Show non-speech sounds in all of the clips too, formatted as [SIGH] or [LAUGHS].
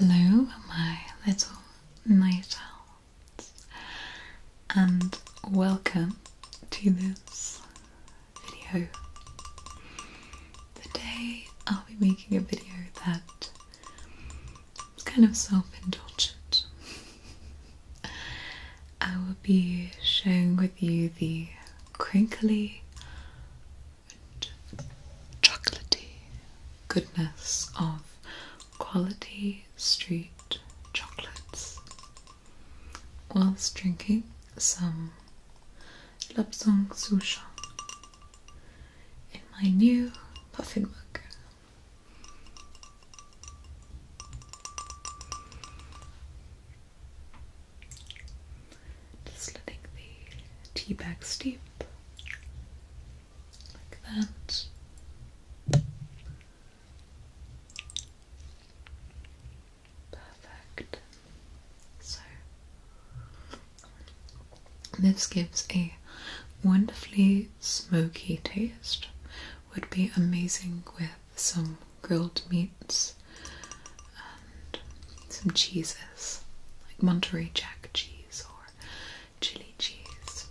Hello, my little night owls, and welcome to this video. Today I'll be making a video that kind of self-indulgent. I will be sharing with you the crinkly and goodness of quality street chocolates whilst drinking some Lapsang Susha in my new puffin mug. Just the tea bag steep like that. Perfect. So this gives a wonderfully smoky taste would be amazing with some grilled meats and some cheeses, like Monterey Jack cheese or chili cheese.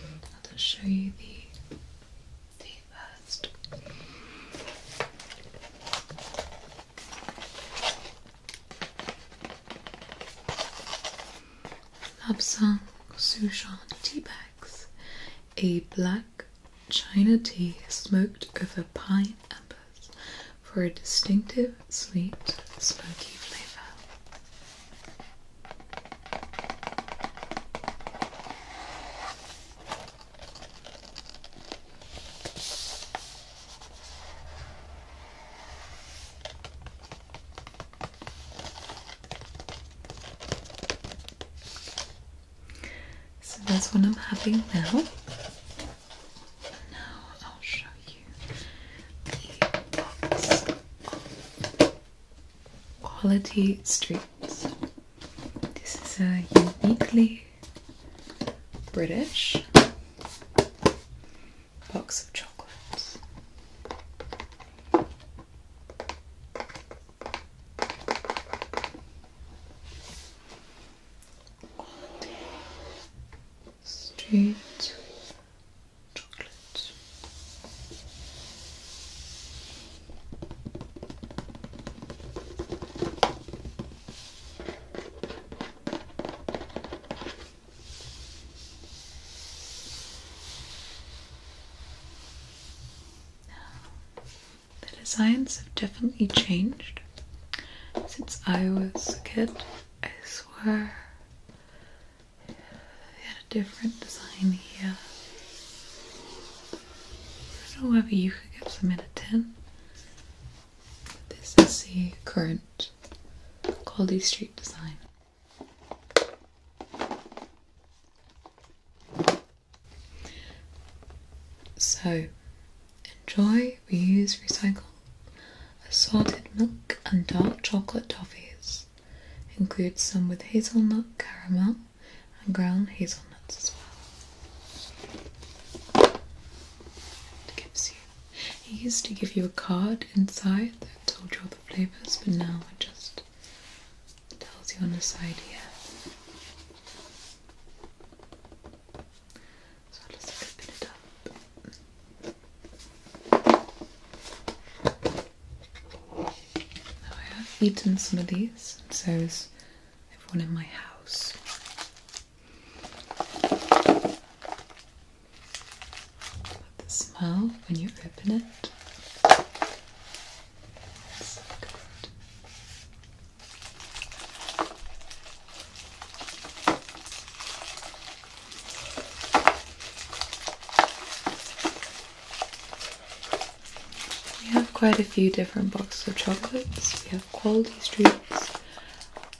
I'll just show you the tea first. Lapsang Sushan tea bags. A black China tea smoked over pine embers for a distinctive sweet smoky flavour. So that's what I'm having now. Now I'll show you the Quality Streets. This is a uniquely British box of chocolates. Straight chocolate the designs have definitely changed since I was a kid. I swear we had a different design here. I don't know whether you could give some in a 10. This is the current Quality Street design. So, enjoy, reuse, recycle assorted milk and dark chocolate toffees. Include some with hazelnut, caramel, and ground hazelnuts as well. It gives you. It used to give you a card inside that told your flavours, but now it just tells you on the side here. So I'll open it up. I have eaten some of these, and so is everyone in my house the smell when you open it. We have quite a few different boxes of chocolates. We have Quality Streets,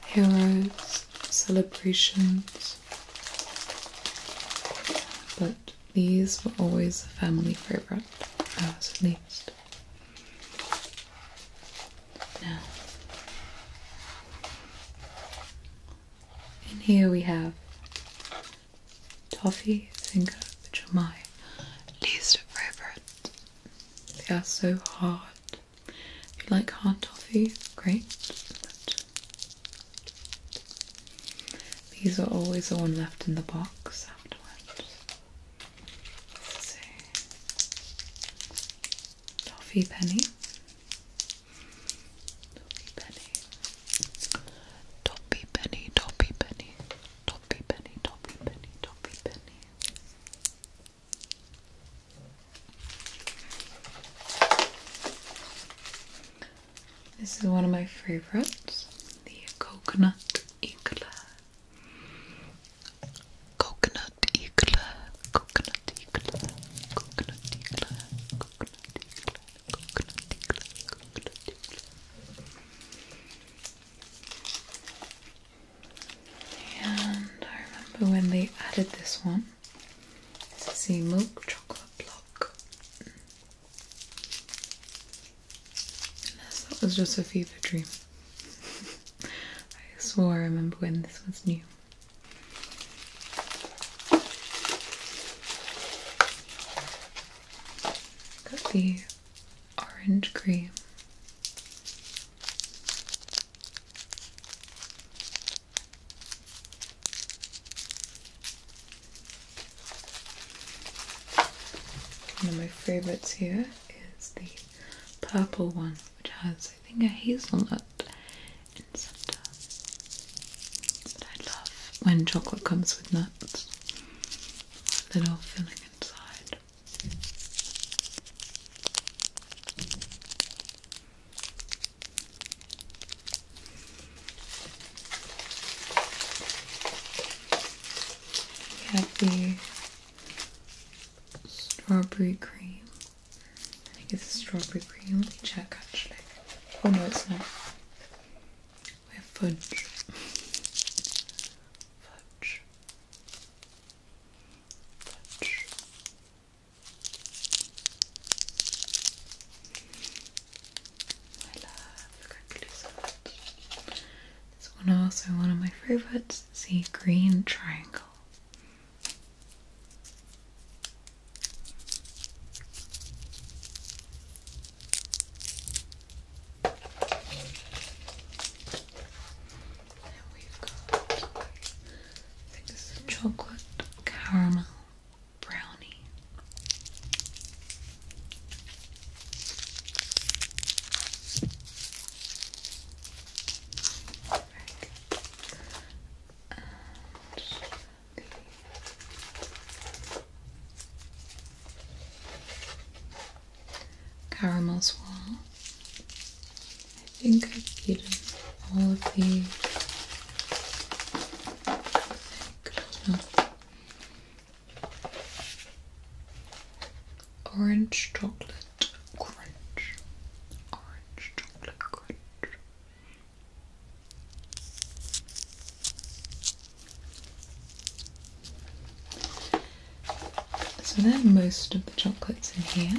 Heroes, Celebrations, but these were always a family favourite, ours at least. Now, in here we have toffee finger, which are my least favourite. They are so hard. If you like hard toffee, great. These are always the one left in the box afterwards. Let's see. Toffee penny. Toffee penny. Toppy penny, toppy penny, toppy penny, toppy penny, toppy penny. This is one of my favorites the coconut eclair. Coconut eclair, coconut eclair, coconut eclair, coconut eclair, coconut eclair, coconut eclair. And I remember when they added this one. This is the milk chocolate. Unless that was just a fever dream. I swore I remember when this was new. Got orange cream. One of my favourites here is the purple one, which has, I think, a hazelnut in the centre. But I love when chocolate comes with nuts. little filling inside. We strawberry cream. I think it's strawberry cream. Let me check actually. Oh no, it's not. We have fudge. Fudge. Fudge. I love crinkly This one also one of my favorites, is the green triangle. And we got I think this chocolate caramel brownie. Right. And caramel swirl. I think I've eaten orange chocolate crunch. Orange chocolate crunch. So there, are most of the chocolates in here.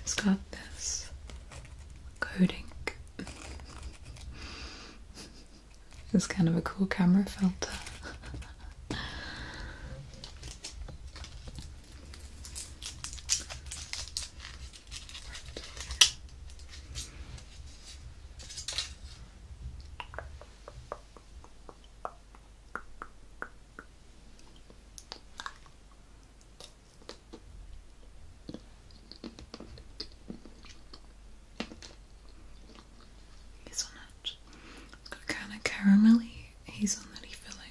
It's got this coating. it's kind of a cool camera filter. Hazelnut. It's got kind of caramelly hazelnutty filling.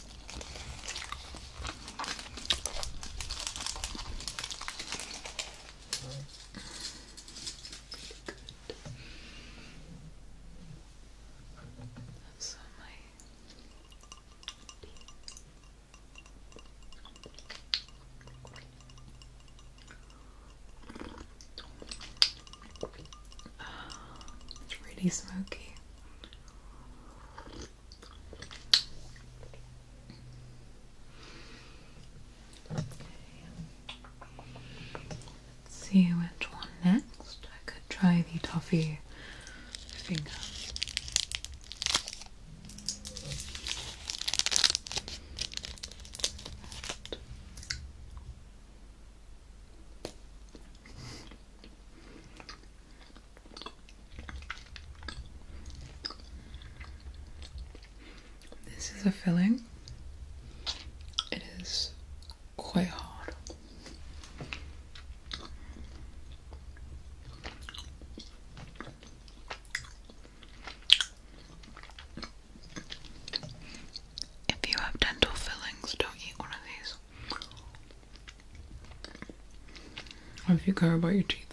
so my uh, it's really smoky. Let's see which one next. I could try the toffee finger. This is a filling. It is quite hard. If you have dental fillings, don't eat one of these. What if you care about your teeth?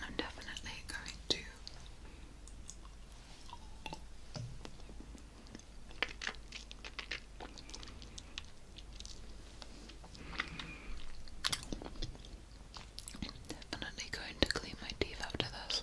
I'm definitely going to Definitely going to clean my teeth after this.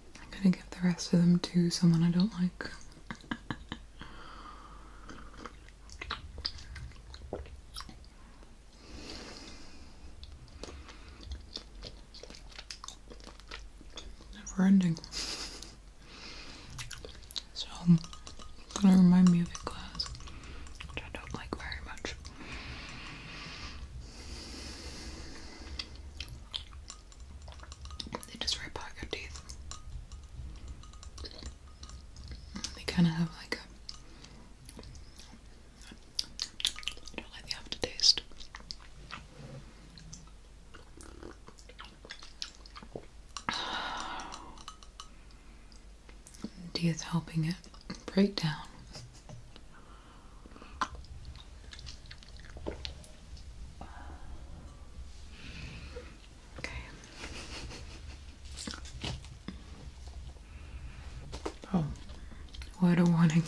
I'm gonna give the rest of them to someone I don't like. [LAUGHS] Never ending. So, gonna remind me of a class, I don't like very much. They just rip out your teeth. They kind of have like a. I don't like the aftertaste. [SIGHS] Teeth helping it break down okay. Oh, what a warning.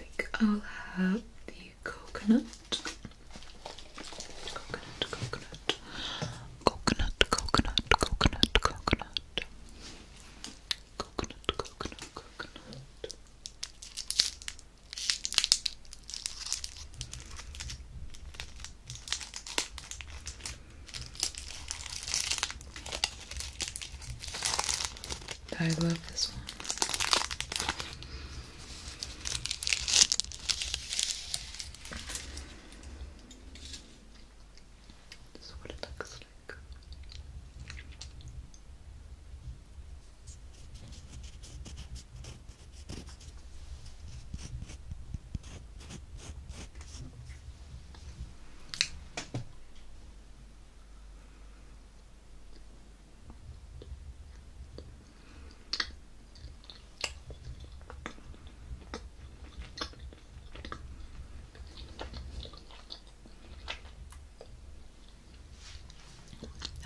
I think I'll have the coconut. Coconut, coconut coconut, coconut, coconut, coconut, coconut, coconut, coconut. I love this one. This is what it looks like.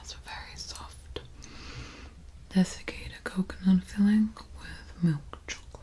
That's a very soft desiccated coconut filling with milk chocolate.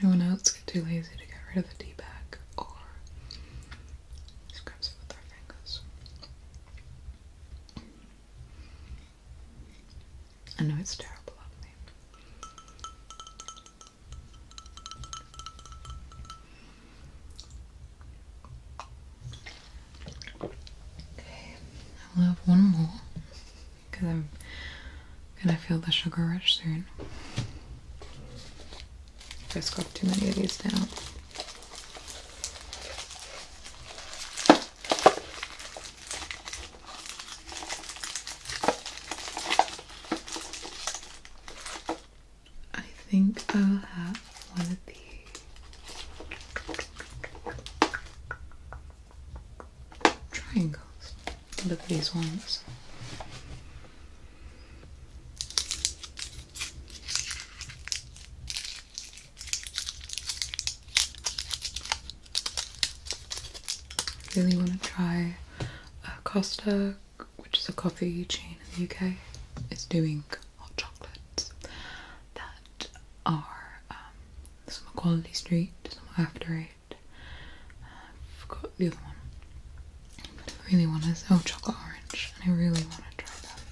Does anyone else get too lazy to get rid of the tea bag or scraps it with their fingers? I know it's terrible of me. Okay, I'll have one more because I'm gonna feel the sugar rush soon. Just got too many of these down. I think I'll have one of these. Triangles. Look at these ones. Really want to try uh, Costa, which is a coffee chain in the UK. It's doing hot chocolates that are um, some Quality Street, some are After Eight. Uh, I forgot the other one. But really want to. Oh, chocolate orange, and I really want to try that.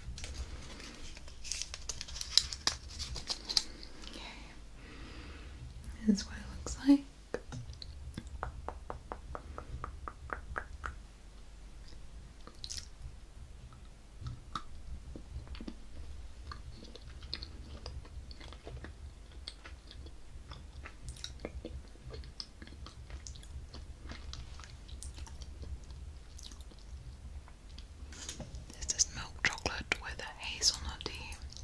Okay, this is what it looks like. This is milk chocolate with a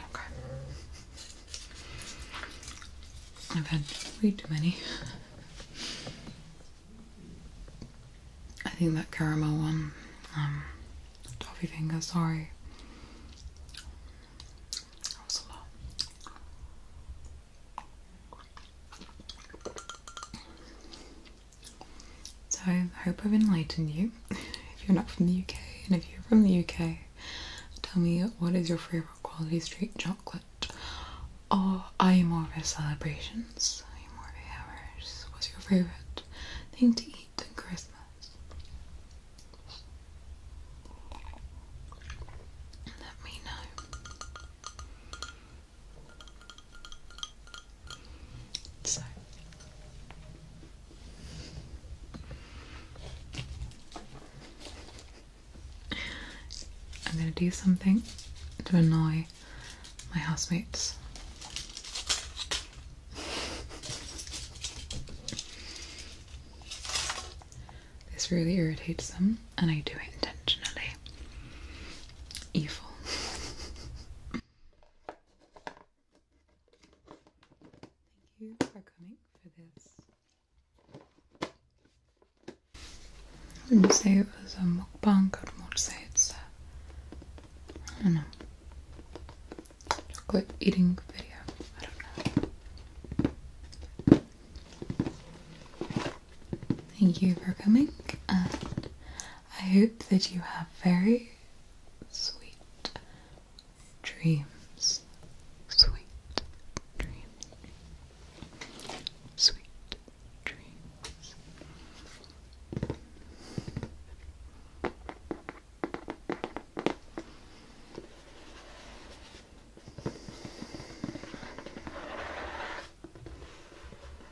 Okay. I've had way too many. I think that caramel one, um, toffee finger, sorry. So I hope I've enlightened you. [LAUGHS] If you're not from the UK, and if you're from the UK, tell me what is your favourite quality street chocolate? Or oh, are you more of a celebrations? Are you more of a What's your favourite thing to eat at Christmas? Let me know. So I'm going to do something to annoy my housemates. This really irritates them, and I do it intentionally. Evil. Thank you for coming for this. I wouldn't say it was a mukbang, i more say it's a, I don't know, chocolate eating video. I don't know. Thank you for coming, and I hope that you have very sweet dreams. Sweet dreams. Sweet dreams.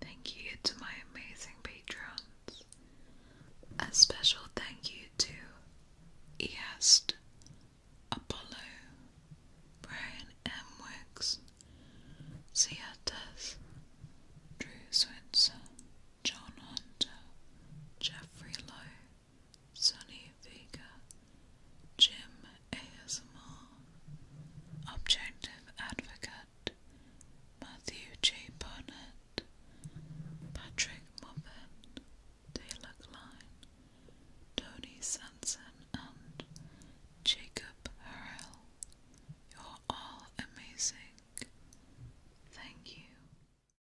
Thank you to my amazing patrons. A special thank you to East, Apollo, Brian M. Wicks, Drew Switzer, John Hunter, Jeffrey Lowe, Sonny Vega, Jim ASMR, Objective Advocate, Matthew J. Barnett, Patrick Moffat, Taylor Klein, Tony Sanson, and Jacob Harrell. You're all amazing. Thank you.